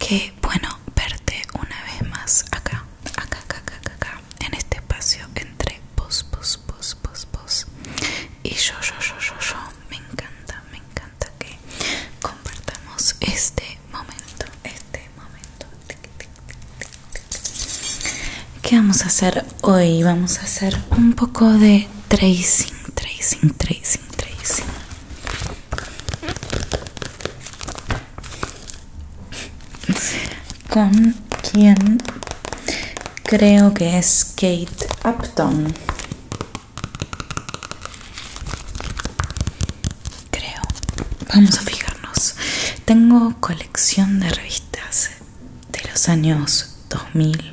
Qué bueno verte una vez más acá acá, acá, acá, acá, acá, en este espacio entre vos, vos, vos, vos, vos y yo, yo, yo, yo, yo. Me encanta, me encanta que compartamos este momento, este momento. ¿Qué vamos a hacer hoy? Vamos a hacer un poco de tracing, tracing, tracing, tracing con quien creo que es Kate Upton. Creo. Vamos a fijarnos. Tengo colección de revistas de los años 2000.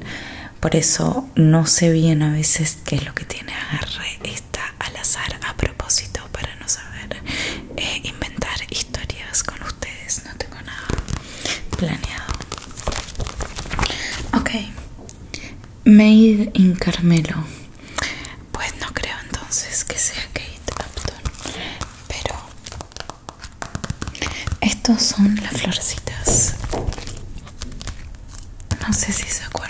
Por eso no sé bien a veces qué es lo que tiene agarre al azar a propósito para no saber eh, inventar historias con ustedes. No tengo nada planeado. Ok. Made in Carmelo. Pues no creo entonces que sea Kate Upton. Pero estos son las florecitas No sé si se acuerdan.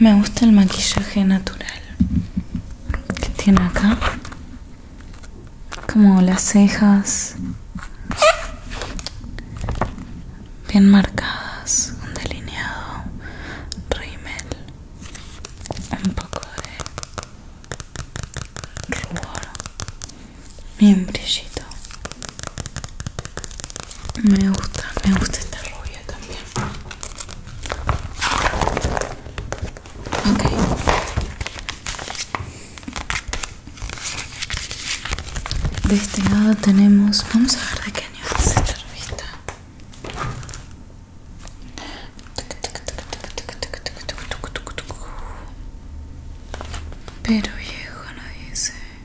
Me gusta el maquillaje natural que tiene acá, como las cejas bien marcadas, un delineado, rímel, un poco de rubor mi brillito me gusta me gusta esta rubia también ok de este lado tenemos vamos a ver de qué año es esta revista pero viejo no dice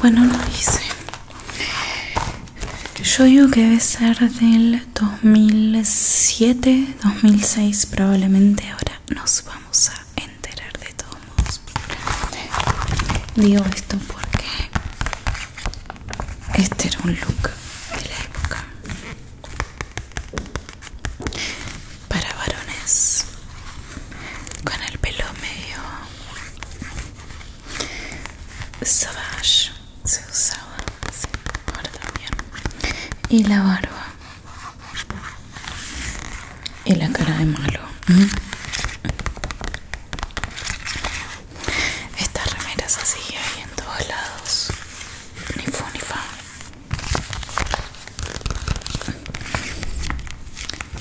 Bueno, lo hice. Yo digo que debe ser del 2007, 2006 probablemente. Ahora nos vamos a enterar de todos modos. Digo esto porque este era un look de la época para varones con el pelo medio savage se usaba ahora también y la barba y la cara de malo mm. estas remeras así hay en todos lados ni fu ni fa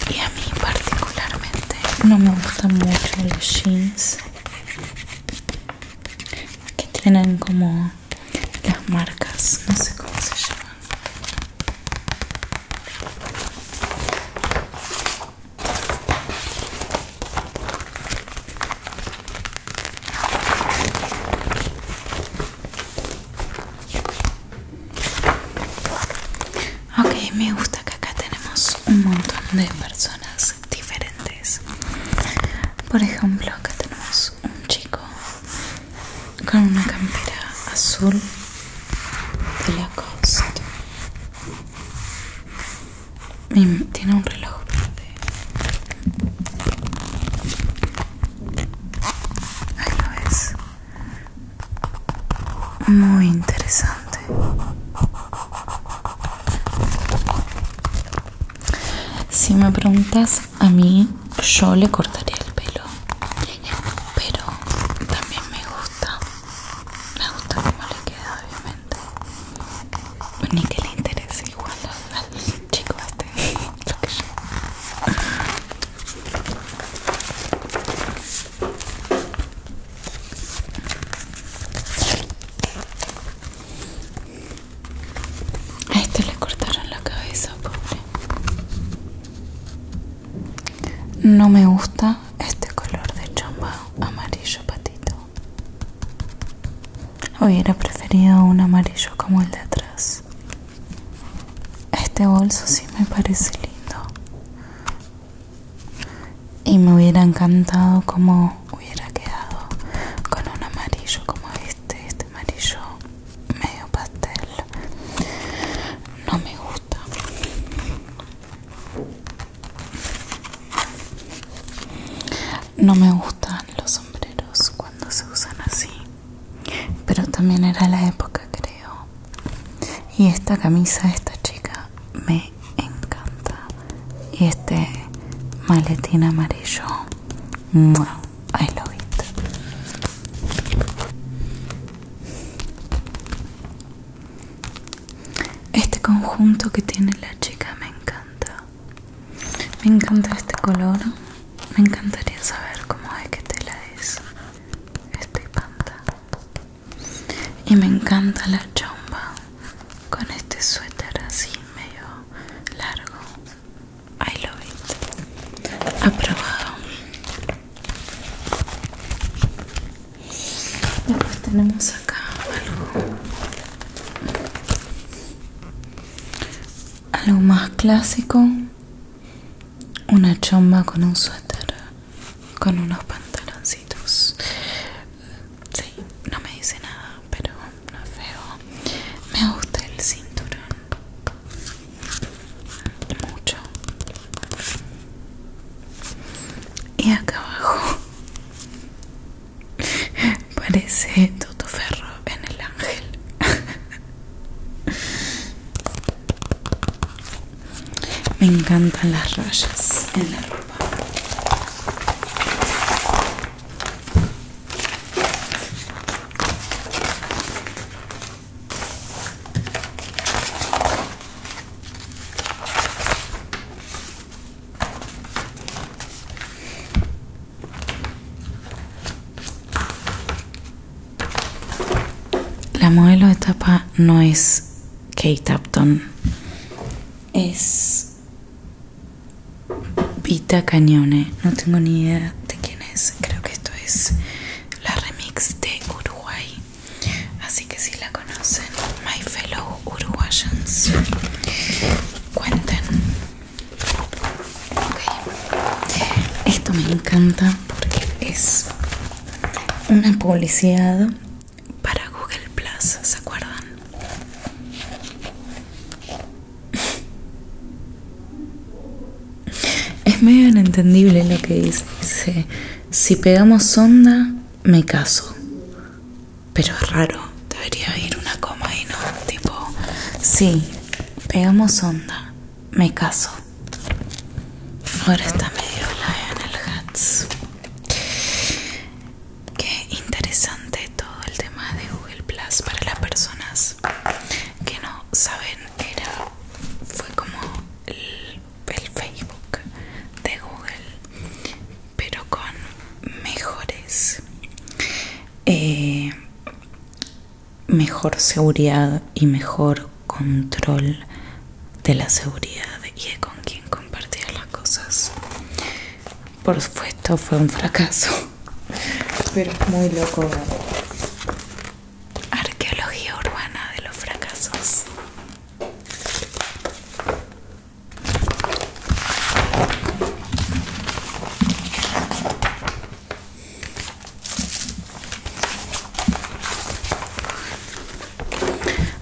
y a mí particularmente no me gustan mucho los jeans que tienen como las marcas, no sé cómo se llaman. Ok, me gusta que acá tenemos un montón de personas diferentes. Por ejemplo, acá tenemos un chico con una campera azul de Lacoste. costa. tiene un reloj verde. Ahí lo ves. Muy interesante. Si me preguntas a mí, yo le cortaría el pelo. Pero también me gusta. Me gusta cómo le queda, obviamente. Ni que le interese igual Chicos chico este. A este le cortaron la cabeza, pobre. No me gusta este color de chamba amarillo patito. Hubiera preferido un amarillo como el de atrás este bolso sí me parece lindo y me hubiera encantado como hubiera quedado con un amarillo como este este amarillo medio pastel no me gusta no me gustan los sombreros cuando se usan así pero también era la época creo y esta camisa esta chica me encanta y este maletín amarillo wow I love it este conjunto que tiene la chica me encanta me encanta este color. Me encantaría saber cómo es que tela es. Estoy Y me encanta la chomba con este suéter así medio largo. I love it. Aprobado. Después tenemos acá algo algo más clásico una chomba con un suéter con unos pantaloncitos sí, no me dice nada pero no es feo me gusta el cinturón mucho y acá abajo Parece Toto Ferro en el ángel. Me encantan las rayas en la ropa. La modelo de tapa no es Kate Upton, es Vita Cañone. No tengo ni idea de quién es. Creo que esto es la remix de Uruguay. Así que si la conocen, my fellow uruguayans, cuenten esto me encanta porque es una publicidad para Google Plus, ¿se acuerdan? Es medio inentendible lo que dice. dice si pegamos onda, me caso. Pero es raro debería ir una coma y no tipo sí pegamos onda me caso ahora está medio el Hats qué interesante todo el tema de Google Plus para las personas que no saben era fue como el, Facebook de Google pero con mejores eh, mejor seguridad y mejor control de la seguridad y con quién compartía las cosas. Por supuesto fue un fracaso, pero es muy loco. Arqueología urbana de los fracasos.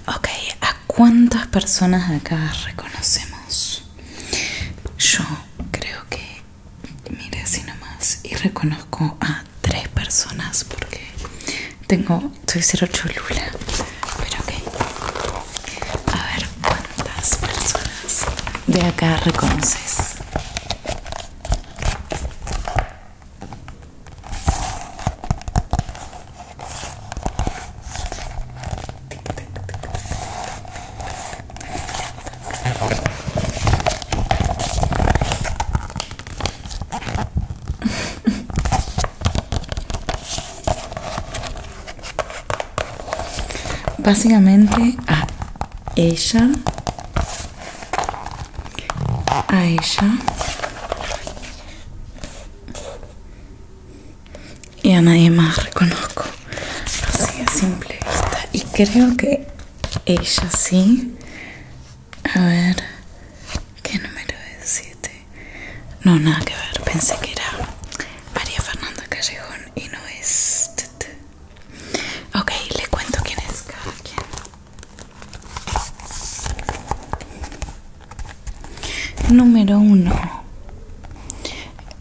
Ok, ¿a cuántas personas acá reconocemos? Yo creo que mire así nomás y reconozco a tres personas porque tengo, soy cero pero ok. A ver cuántas personas de acá reconoces básicamente a ella a ella y a nadie más reconozco así es simple vista y creo que ella sí a ver qué número es 7 no nada que ver pensé que era María Fernanda Callejón y no es... Ok, le cuento quién es cada quien. Número 1.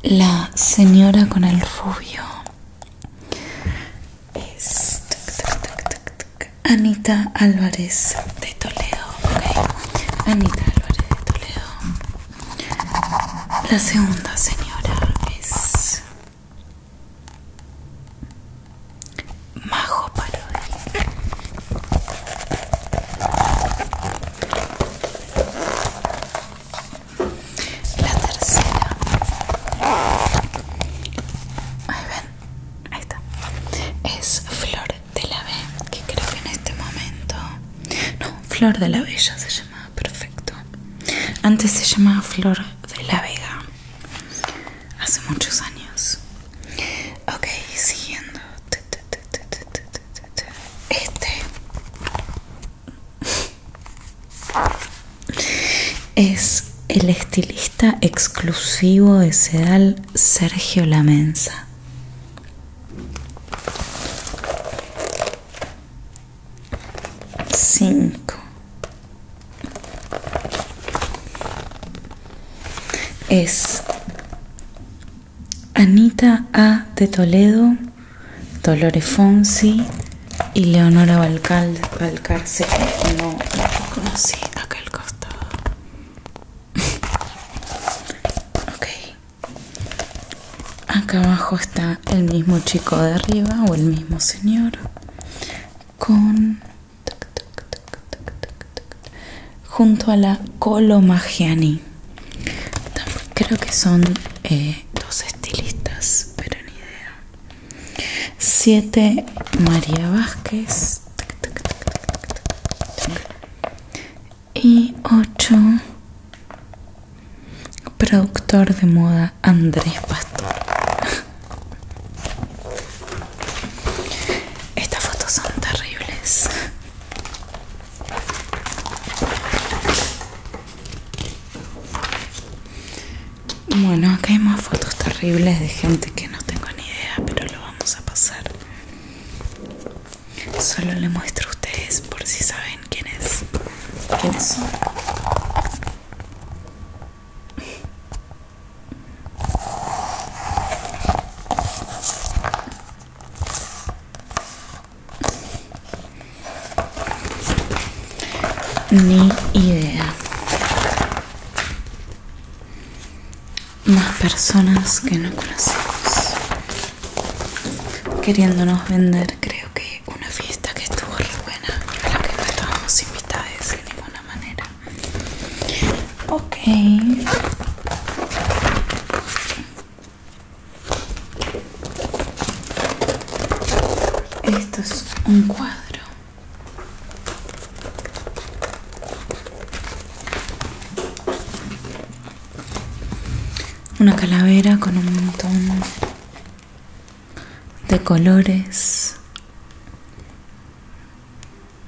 La señora con el rubio es Anita Álvarez de Toledo. Anita Álvarez de Toledo. La segunda señora es Majo Parodi. La tercera. Ahí ven, ahí está. Es Flor de la B, que creo que en este momento... No, Flor de la ya se llama perfecto antes se llamaba Flor de la Vega hace muchos años ok siguiendo este es el estilista exclusivo de Sedal Sergio Lamensa 5 es Anita A. de Toledo, Dolores Fonsi y Leonora Valcarce, Valcárcel. No conocí aquel costado. Acá abajo está el mismo chico de arriba o el mismo señor con junto a la Colomagiani. Creo que son dos estilistas, pero ni idea. Siete María Vázquez y 8 productor de moda Andrés Pastor estas fotos son terribles bueno acá hay más fotos terribles de gente que no tengo ni idea pero lo vamos a pasar Solo le muestro a ustedes por si saben quién es, quiénes son. Ni idea. Más personas que no conocemos queriéndonos vender creo que una fiesta que estuvo re buena a la que no estábamos invitados de ninguna manera ok esto es un cuadro una calavera con un montón de colores,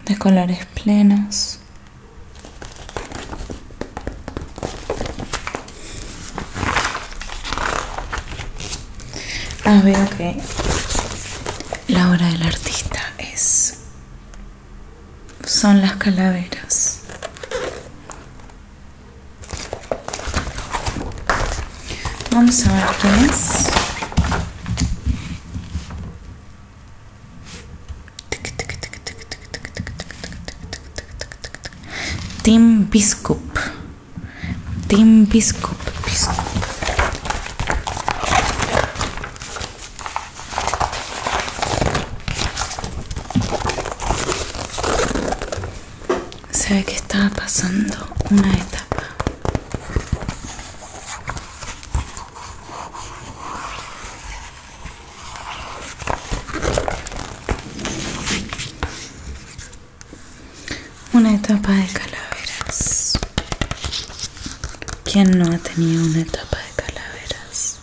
de colores plenos. Ah, veo que la obra del artista es son las calaveras. Vamos a ver quién es. Tim Biscup. Tim Biscup. Se ve que estaba pasando una etapa. Una etapa de calaveras. ¿Quién no ha tenido una etapa de calaveras?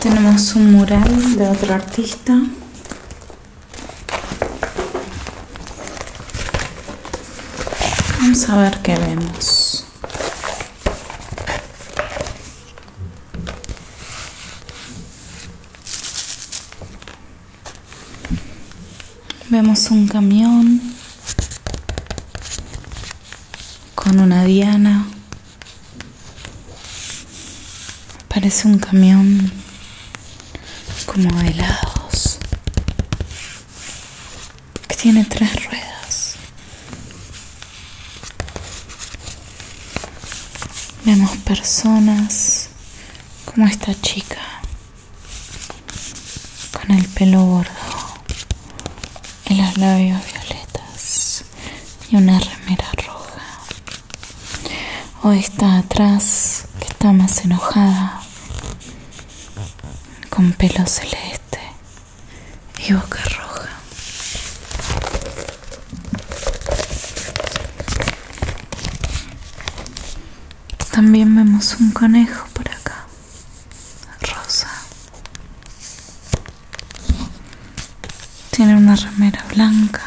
Tenemos un mural de otro artista. Vamos a ver qué vemos. Vemos un camión con una diana. Parece un camión como de helados que tiene tres ruedas. Vemos personas como esta chica con el pelo gordo y los labios violetas y una remera roja. o está atrás, que está más enojada, con pelo celeste y boca roja. También vemos un conejo por acá rosa tiene una remera blanca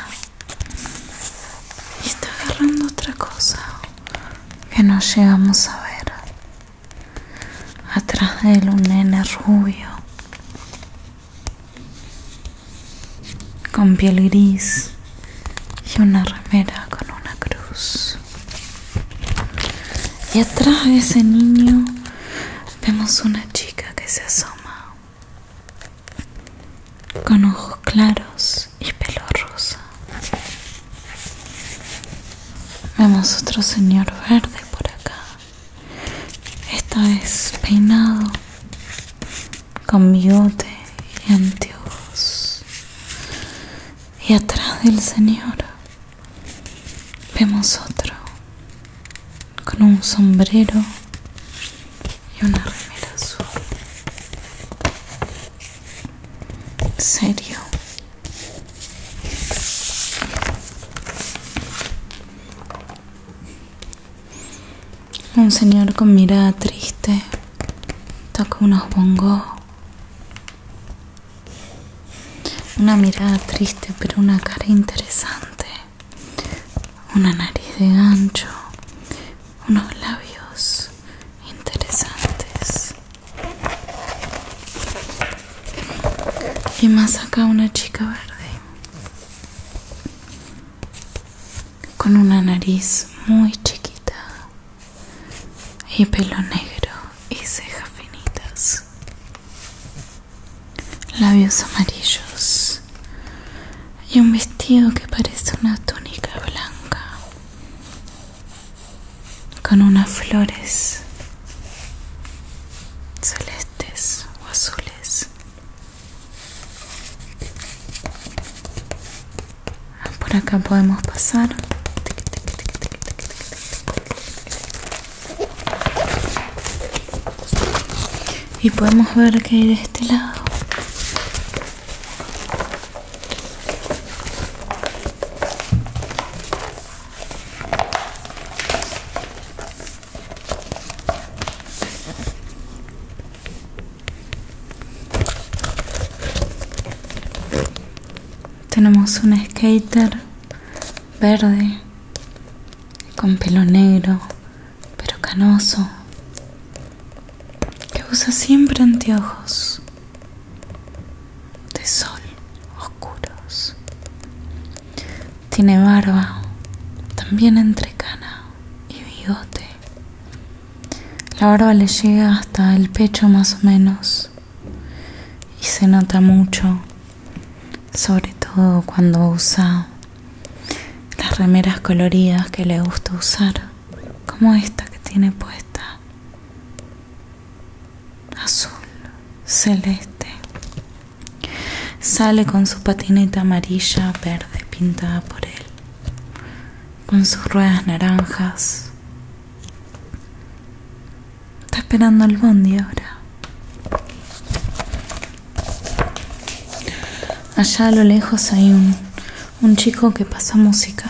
y está agarrando otra cosa que no llegamos a ver atrás de él un nene rubio con piel gris y una remera con una cruz y atrás de ese niño vemos una chica que se asoma con ojos claros y pelo rosa. Vemos otro señor verde por acá. Esta vez peinado con bigote y anteojos. Y atrás del señor Vemos otro con un sombrero y una remera azul. Serio. Un señor con mirada triste toca unos bongos. Una mirada triste pero una cara interesante. Una nariz de gancho. Unos labios interesantes. Y más acá una chica verde. Con una nariz muy chiquita y pelo negro y cejas finitas, labios amarillos y un vestido que parece una túnica blanca con unas flores celestes o azules por acá podemos pasar y podemos ver que hay de este lado tenemos un skater verde con pelo negro, pero canoso, que usa siempre anteojos de sol oscuros. Tiene barba, también entrecana y bigote. La barba le llega hasta el pecho más o menos y se nota mucho sobre todo cuando usa las remeras coloridas que le gusta usar como esta que tiene puesta azul celeste sale con su patineta amarilla verde pintada por él con sus ruedas naranjas Está esperando el bondi ahora. Allá a lo lejos hay un, un chico que pasa música,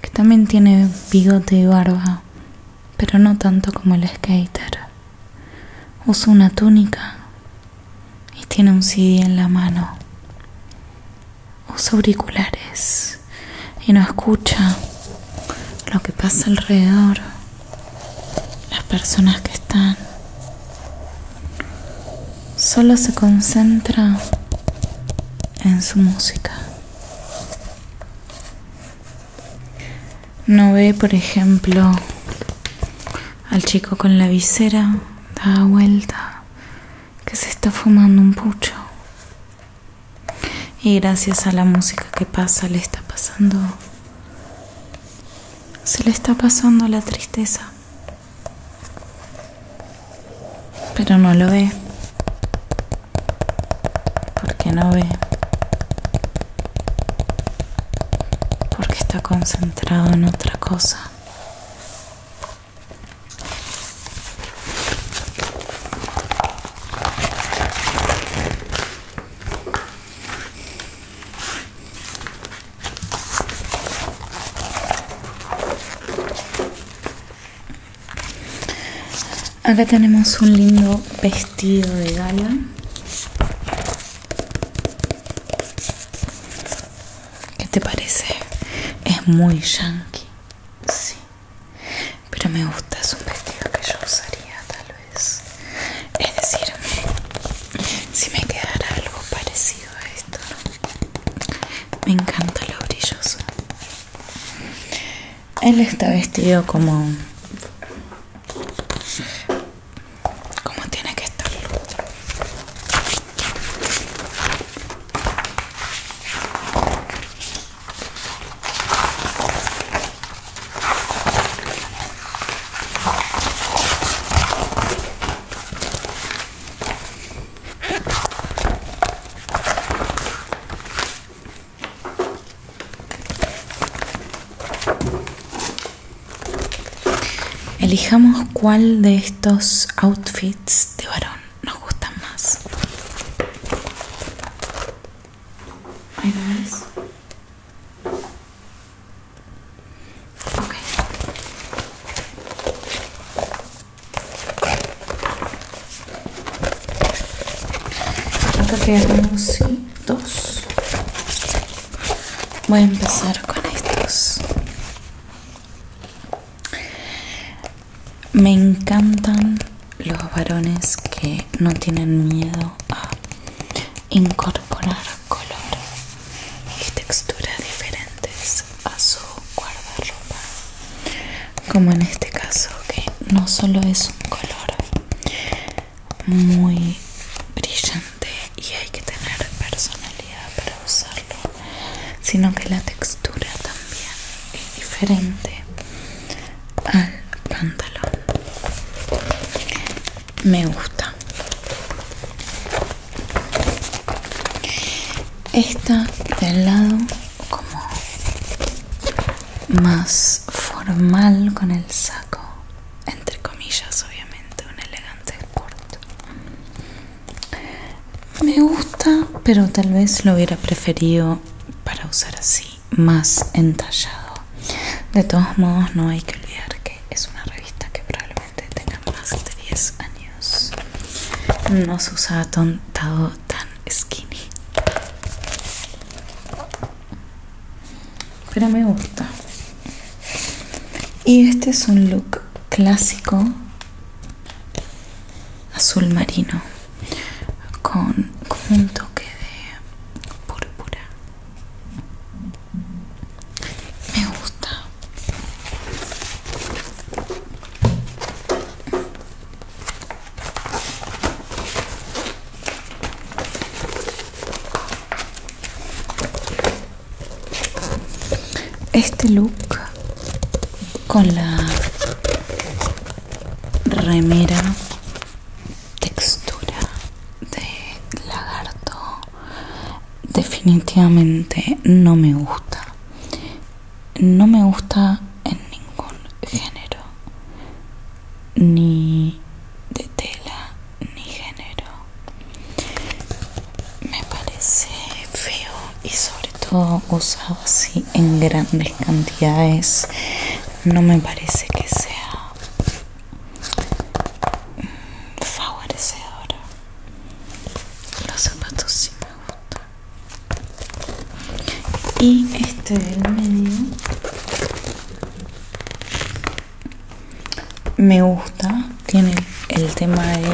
que también tiene bigote y barba, pero no tanto como el skater. Usa una túnica y tiene un CD en la mano usa auriculares y no escucha lo que pasa alrededor, las personas que están. Solo se concentra en su música. No ve, por ejemplo, al chico con la visera, da vuelta que se está fumando un pucho. Y gracias a la música que pasa le está pasando... Se le está pasando la tristeza. Pero no lo ve. Porque no ve. Porque está concentrado en otra cosa. Acá tenemos un lindo vestido de gala. ¿Qué te parece? Es muy yankee. Sí, pero me gusta, es un vestido que yo usaría tal vez. Es decir, si me quedara algo parecido a esto, me encanta lo brilloso. Él está vestido como... Como tiene que estar Elijamos cuál de estos outfits de varón nos gustan más. Ahí lo ves. Acá quedan sí, dos. Voy a empezar con estos. Me encantan los varones que no tienen miedo a incorporar color y texturas diferentes a su guardarropa. Como en este caso que no solo es un color muy brillante y hay que tener personalidad para usarlo sino que la textura también es diferente al pantalón me gusta esta del lado como más formal con el saco entre comillas obviamente un elegante corto me gusta, pero tal vez lo hubiera preferido para usar así, más entallado. De todos modos, no hay que olvidar que es una revista que probablemente tenga más de 10 años. No se usaba tontado tan skinny. Pero me gusta. Y este es un look clásico azul marino con, un toque de púrpura me gusta este look con la remera textura de lagarto definitivamente no me gusta no me gusta en ningún género ni de tela ni género me parece feo y sobre todo usado así en grandes cantidades no me parece que sea favorecedora los zapatos sí me gustan y este del medio me gusta tiene el tema de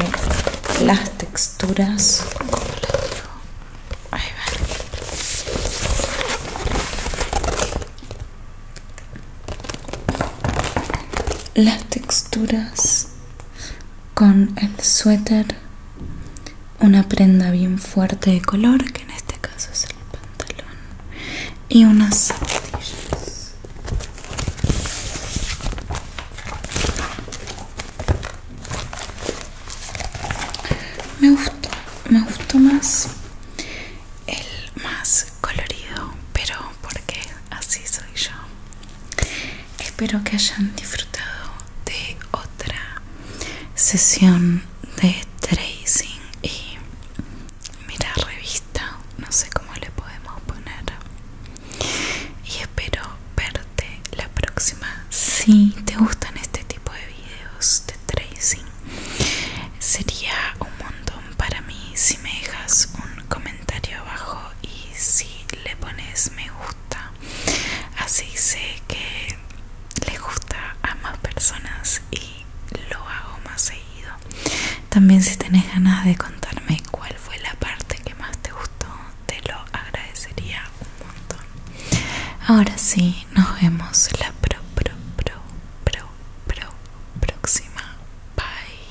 las texturas las texturas con el suéter una prenda bien fuerte de color que en este caso es el pantalón y unas zapatillas me gustó, me gustó más el más colorido, pero porque así soy yo. Espero que hayan disfrutado de otra sesión de tracing y mira revista, no sé cómo le podemos poner y espero verte la próxima si te gustan este tipo de videos de tracing sería un montón para mí si me dejas un comentario abajo y si le pones me gusta así sé que le gusta a más personas y lo hago más seguido también si tenés ganas de contarme cuál fue la parte que más te gustó, te lo agradecería un montón. Ahora sí, nos vemos la pro, pro, pro, pro, pro, próxima. Bye.